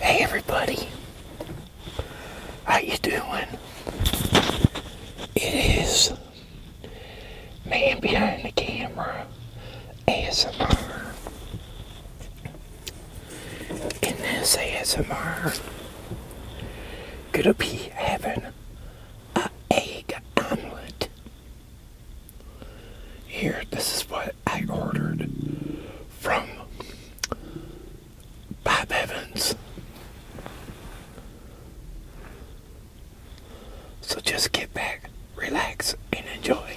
Hey everybody, how you doing? It is man behind the camera ASMR. In this ASMR, gonna be having a egg omelet here, this is what I ordered from Bob Evans. So just get back, relax, and enjoy.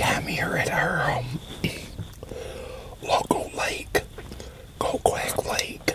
I'm here at our home local lake, Goquack Lake.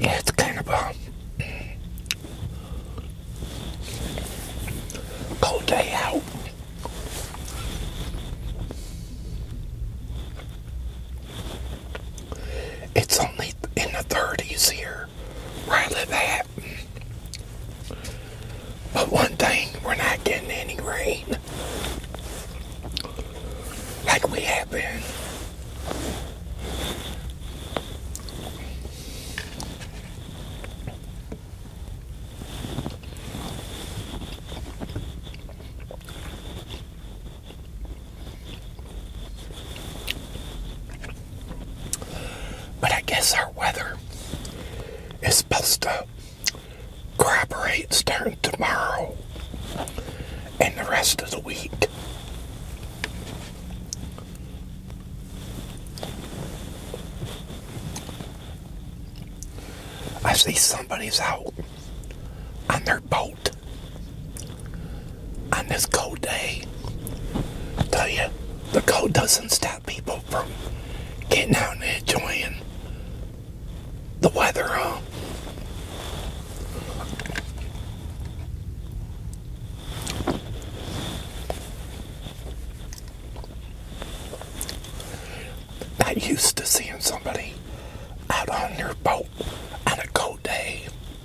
Yeah, it's kind of a cold day out. It's only in the 30s here, right at but one thing, we're not getting any rain like we have been. But I guess our weather is supposed to corroborate starting tomorrow and the rest of the week. I see somebody's out on their boat on this cold day. Tell you the cold doesn't stop people from getting out and enjoying the weather. Huh? Not used to seeing somebody out on their boat on a cold day.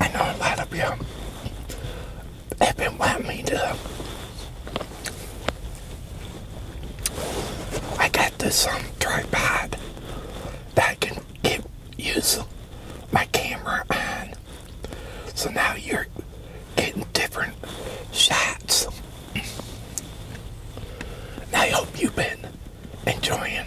I know a lot of you have been wanting me to I got this um, tripod that can keep using my camera on. So now you're getting different shots. And I hope you've been enjoying.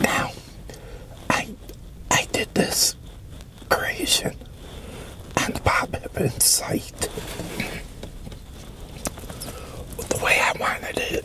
Now, I I did this creation and Bob Evans site the way I wanted it.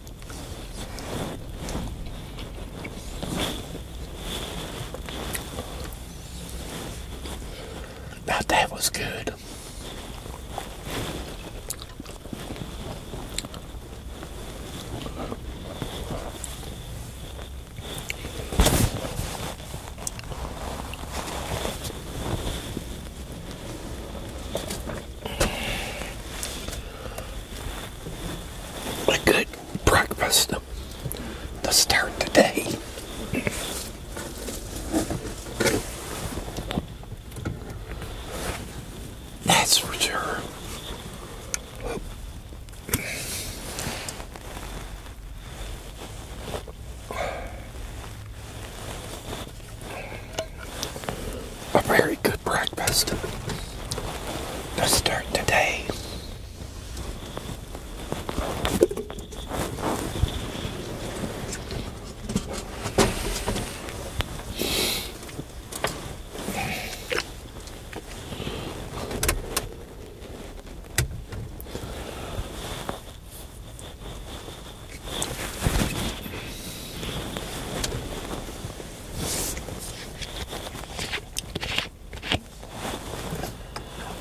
Now that was good a good breakfast to start the day. That's for sure a very good breakfast to start today.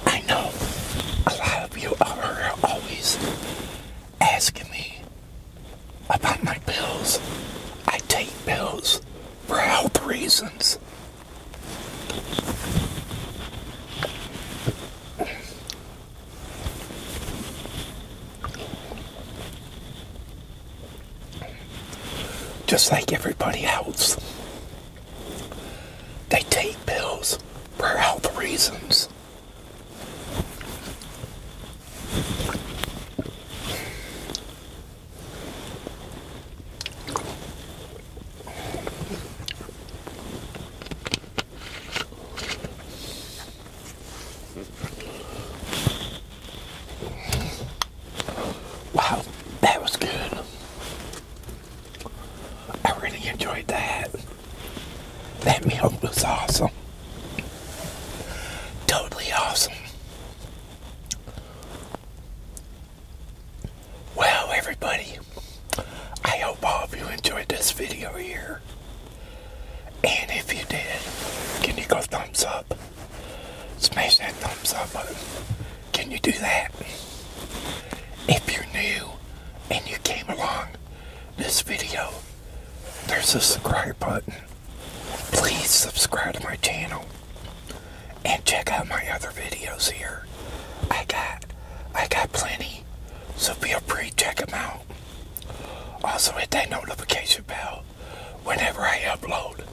I know a lot of you are always asking me about my pills. I take pills for health reasons. Just like everybody else, they take pills for health reasons. Wow, that was good. I really enjoyed that. That meal was awesome. Totally awesome. Well, everybody, I hope all of you enjoyed this video here. And if you did, can you go thumbs up? Smash that thumbs up button. Can you do that? If you're new and you came along this video, there's a subscribe button. Please subscribe to my channel and check out my other videos here. I got I got plenty so feel free to check them out. Also hit that notification bell. Whenever I upload,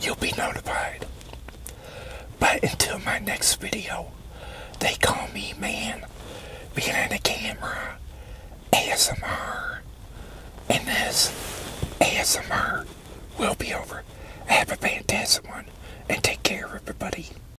you'll be notified. But until my next video, they call me man behind the camera ASMR. And this ASMR will be over. Have a fantastic one and take care everybody.